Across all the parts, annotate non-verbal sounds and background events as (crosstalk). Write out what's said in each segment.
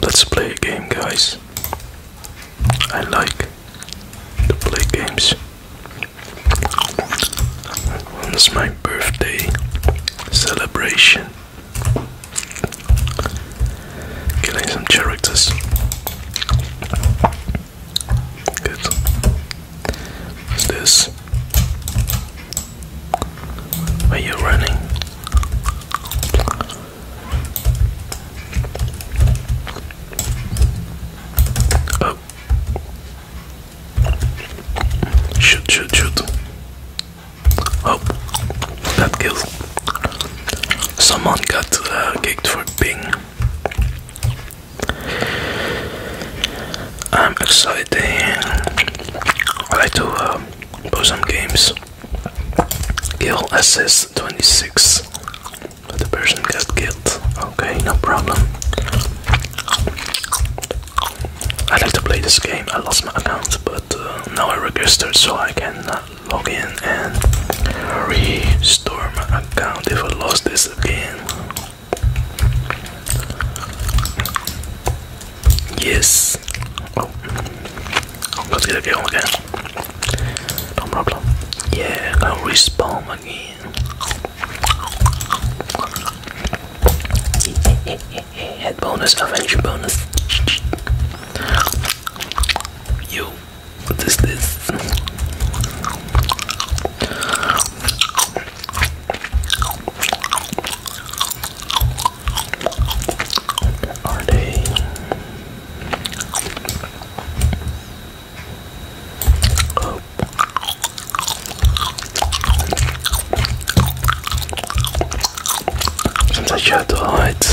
Let's play a game, guys. I like to play games. It's my birthday celebration. Killing some characters. Good. What's this? Are you running? Oh. Shoot, shoot, shoot. Oh, that kills. Someone got uh, kicked for ping. I'm excited. I like to uh, play some games. Kill SS26. the person got killed. Okay, no problem. I like to play this game. I lost my account, but uh, now I registered so I can uh, log in and restore my account if I lost this again. Yes. Oh, let's get again again. No problem. Yeah, I'll respawn again. (laughs) Head bonus, adventure bonus. Yo, what is this? Are they? Oh. Sometimes you have to hide.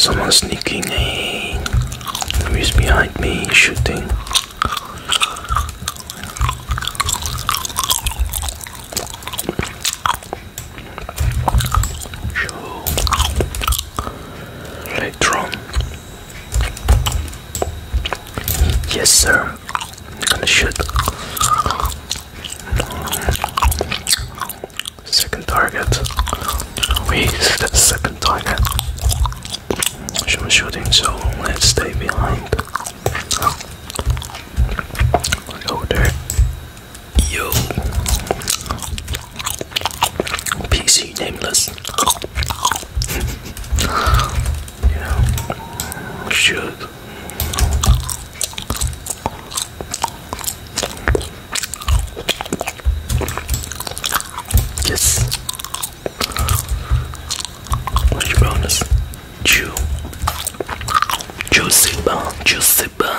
Someone sneaking in. Who is behind me shooting? Later on. Yes, sir. I'm Second target. We the second target. She was shooting, so let's stay behind. Hello there. Yo. PC nameless. (laughs) you shoot. Yes. What's your bonus? Chew. Juicy bun,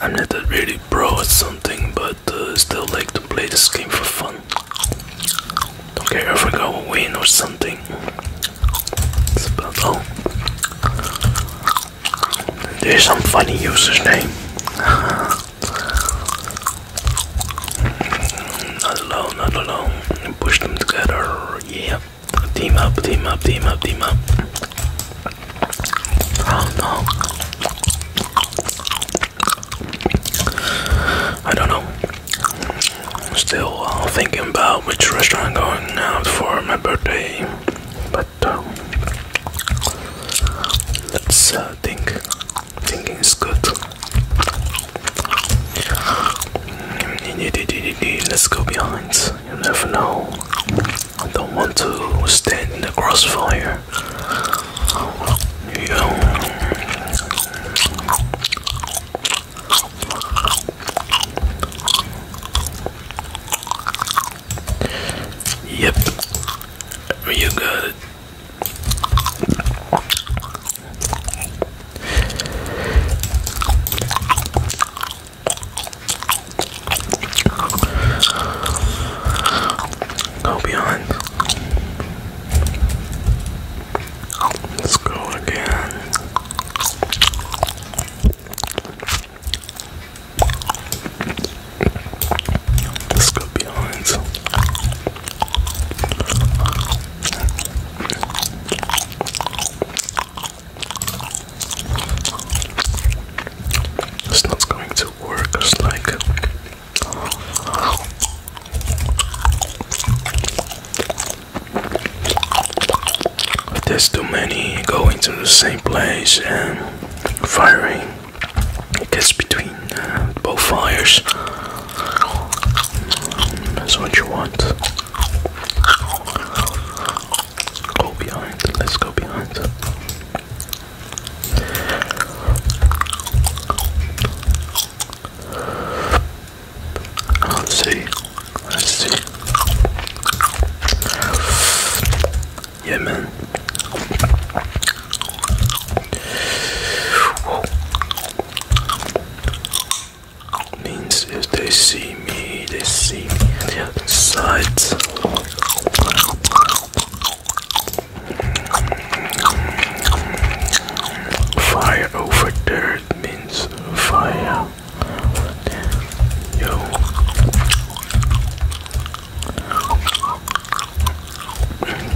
I'm not that really pro at something, but uh, still like to play this game for fun. Don't care if I go win or something. It's about all. There's some funny user's name. (laughs) not alone, not alone. Push them together. Yeah. Team up, team up, team up, team up. Oh no. I don't know. still uh, thinking about which restaurant I'm going out for my birthday. But but um, let's uh, think. Thinking is good. Mm, let's go behind. You never know. I don't want to stand in the crossfire. You Yep, you got it. Go beyond. Let's go again. Let's go behind. It's not going to work. It's like there's too many going to the same place and firing. It gets between uh, both fires. Mm, that's what you want. Go behind. Let's go behind. see. Let's see. Yeah, Means if they see me, they see me on the other Fire over there means fire. Yo.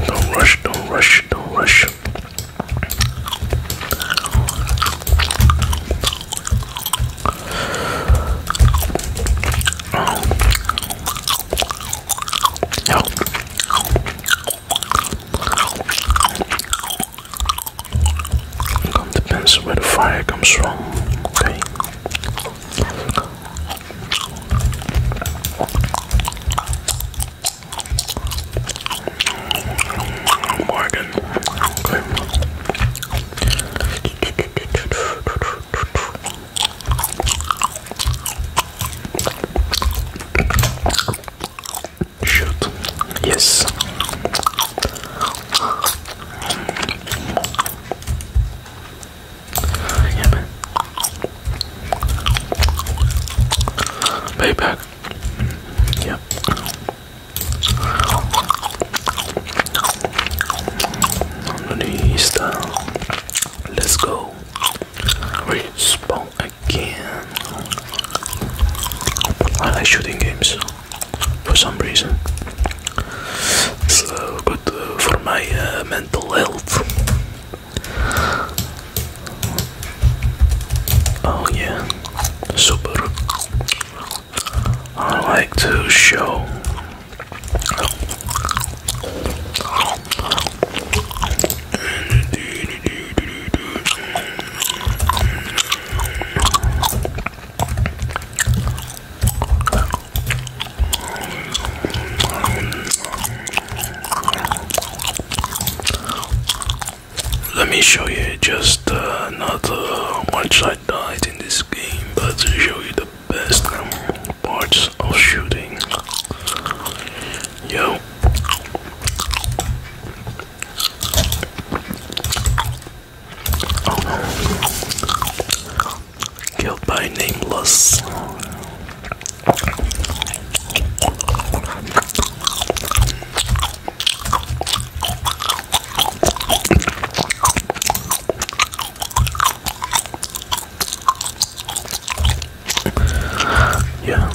Don't rush, don't rush, don't rush. Oh. Yo. It depends where the fire comes from. Okay. Morgan. Okay. Shoot. Yes. Payback. Yep. Underneath. Let's go. Respawn again. I like shooting games for some reason. So good uh, for my uh, mental health. Oh, yeah, super. I like to show let me show you just uh, another one uh, once in this game, but to show you the best parts of shooting. Yo. Killed by Nameless. yeah.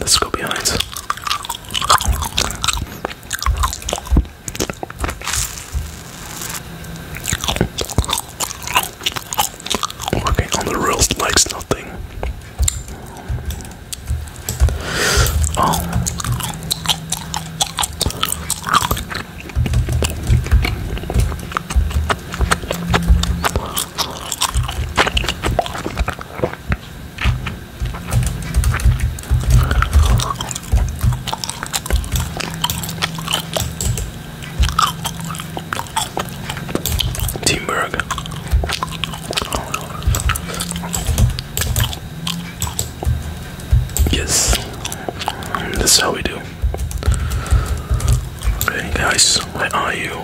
Let's go behind. Working on the rails likes nothing. Um, Teamberg. Yes, that's how we do. Hey guys, where are you?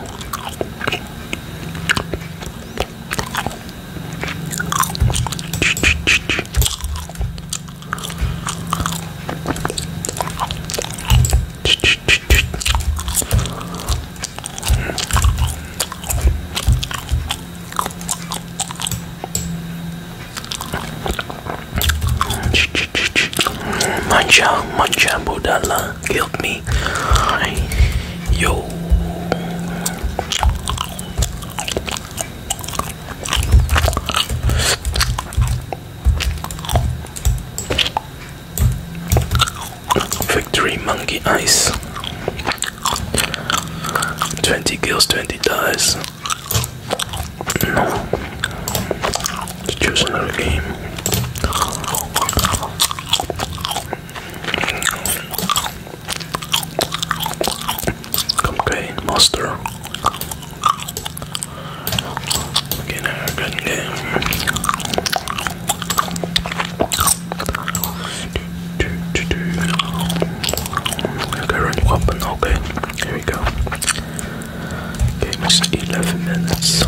Mancha, mancha, budala, killed me. Yo. Victory Monkey Ice 20 kills, 20 dies. Let's choose another game. Okay, Monster. Again, a good game. Okay, run weapon. Okay, here we go. Okay, just 11 minutes.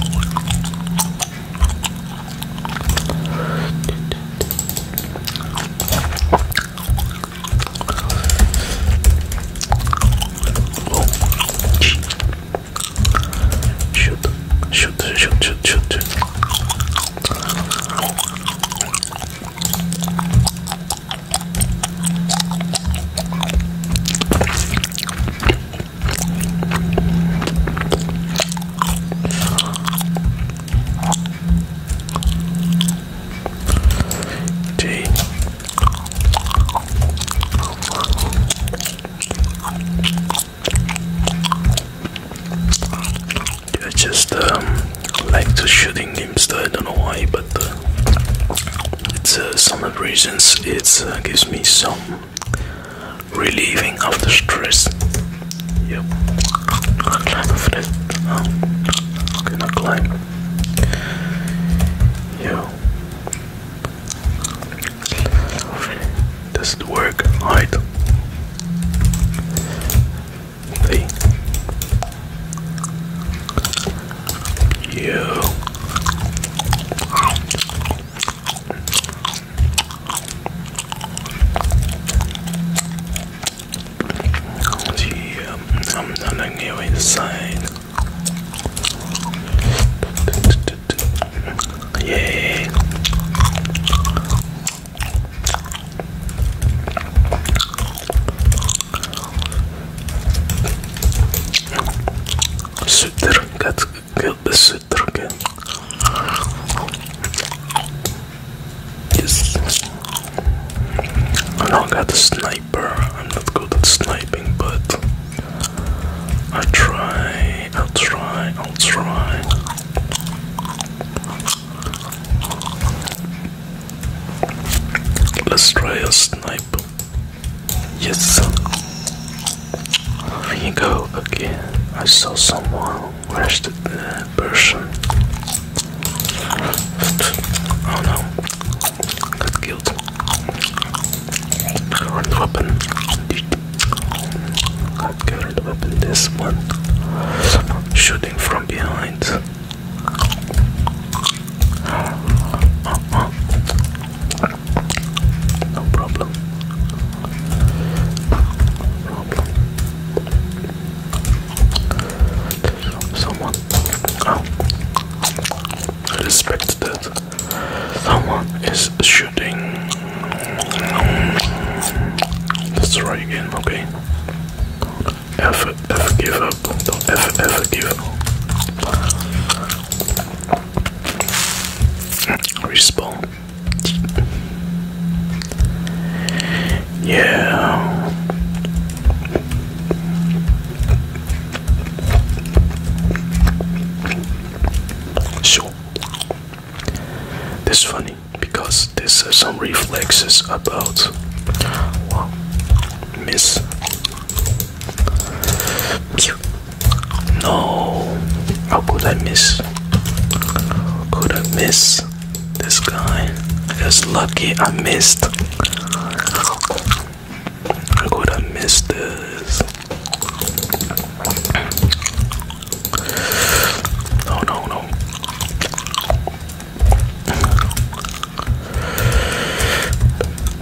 shoot, shoot, shoot, shoot, shoot. Tea. It's just um like to shooting games. I don't know why, but uh, it's uh, some reasons. It uh, gives me some relieving of the stress. Yep. climb over that. Oh, can climb? Yeah. Does it work? Hide. Hey. You. I'm nothing new inside. Yay. Sütdrunket, gilde sütdrunket. Yes. I don't got a sniper. I'm not good at sniping, but I will try. I'll try. I'll try. Let's try a sniper. Yes. Here you go again. I saw someone. Where's the person? Oh no. Got killed. Current weapon. Got current weapon. This one. Shooting from behind. No problem. problem. Someone. Oh. I respect that. Someone is shooting. Let's try again, okay? ever, ever give up. Don't ever, ever give up. Respawn. Yeah. Sure. That's funny because this is uh, some reflexes about miss. No, how could I miss? Could I miss this guy? I Just lucky I missed. How could I miss this? No, no, no.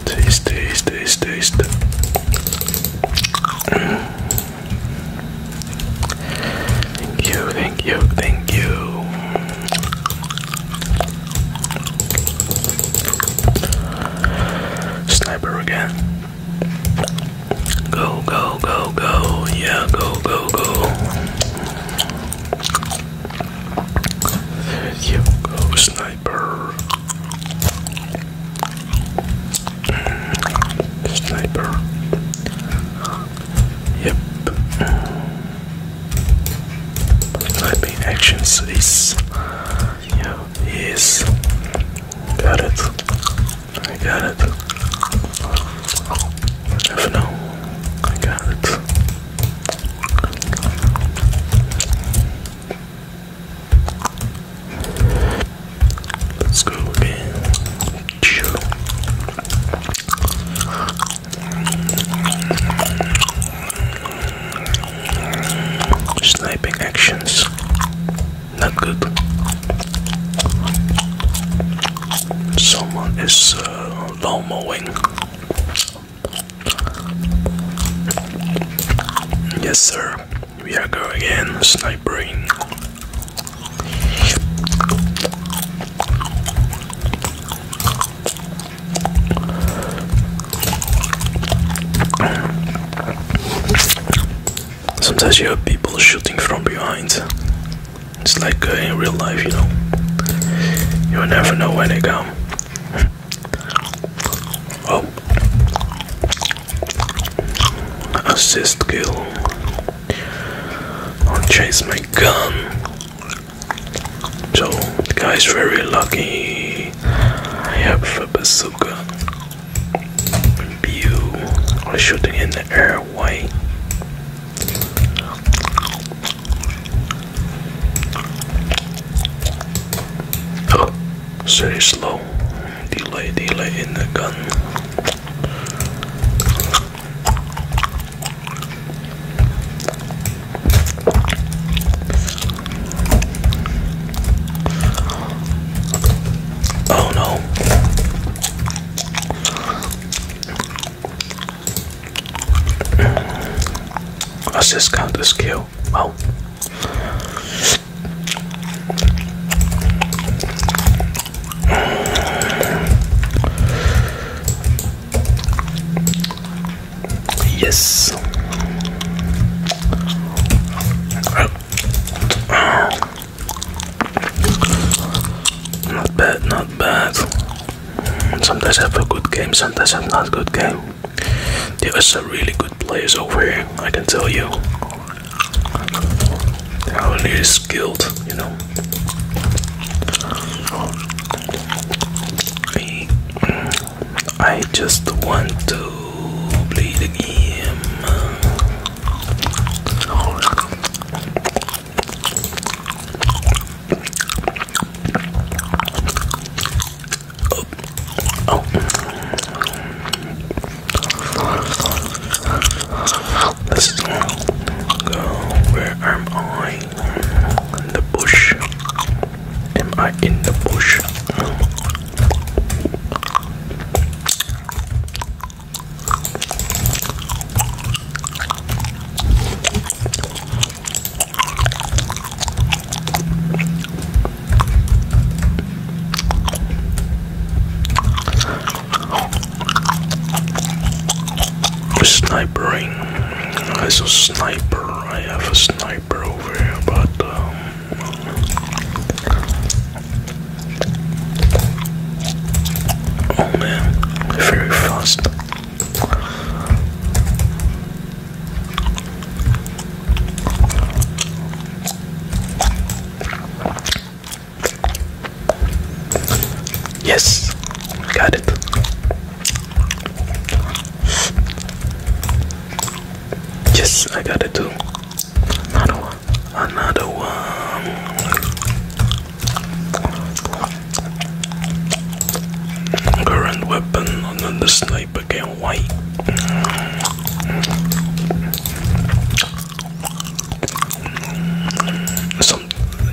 Taste, taste, taste, taste. Thank you, thank you, thank you. Sniper again. Go, go, go, go. Yeah, go, go, go. There you go, sniper. Sniper. Yep. Sniping actions is. Yeah, yes. Got it. I got it. Never know. I got it. Let's Sniping actions. Not good. Someone is uh, lawn mowing. Yes, sir. We are going again, snipering. Sometimes you have people shooting from behind. It's like uh, in real life, you know. You'll never know when they come. Oh. Assist kill. I'll chase my gun. So, the guy is very lucky. I have a bazooka. Pew. Or shooting in the air. Oh, slow. Delay, delay in the gun. Oh no. I just count this skill. Oh, Yes. Not bad, not bad. Sometimes I have a good game, sometimes I have not good game. There are some really good players over here, I can tell you. they skilled, you know. I just want to play the game. Oh. Let's go. Where am I? In the bush. Am I in the bush? I'm a sniper. I have a sniper over here, but um, Oh man, very fast. Yes, got it. Yes, I got it too. Another one another one. Current weapon, another sniper can white. Some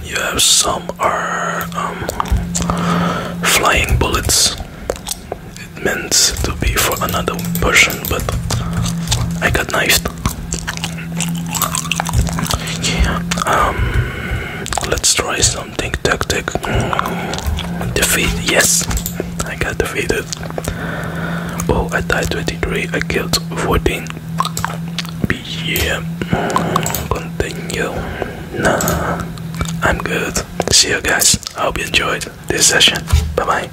you have some are um, flying bullets. It meant to be for another person, but I got nice. Um, let's try something tactic. Defeat, yes, I got defeated. Oh, I died 23, I killed 14. Yeah, continue. Nah, I'm good. See you guys. I hope you enjoyed this session. Bye bye.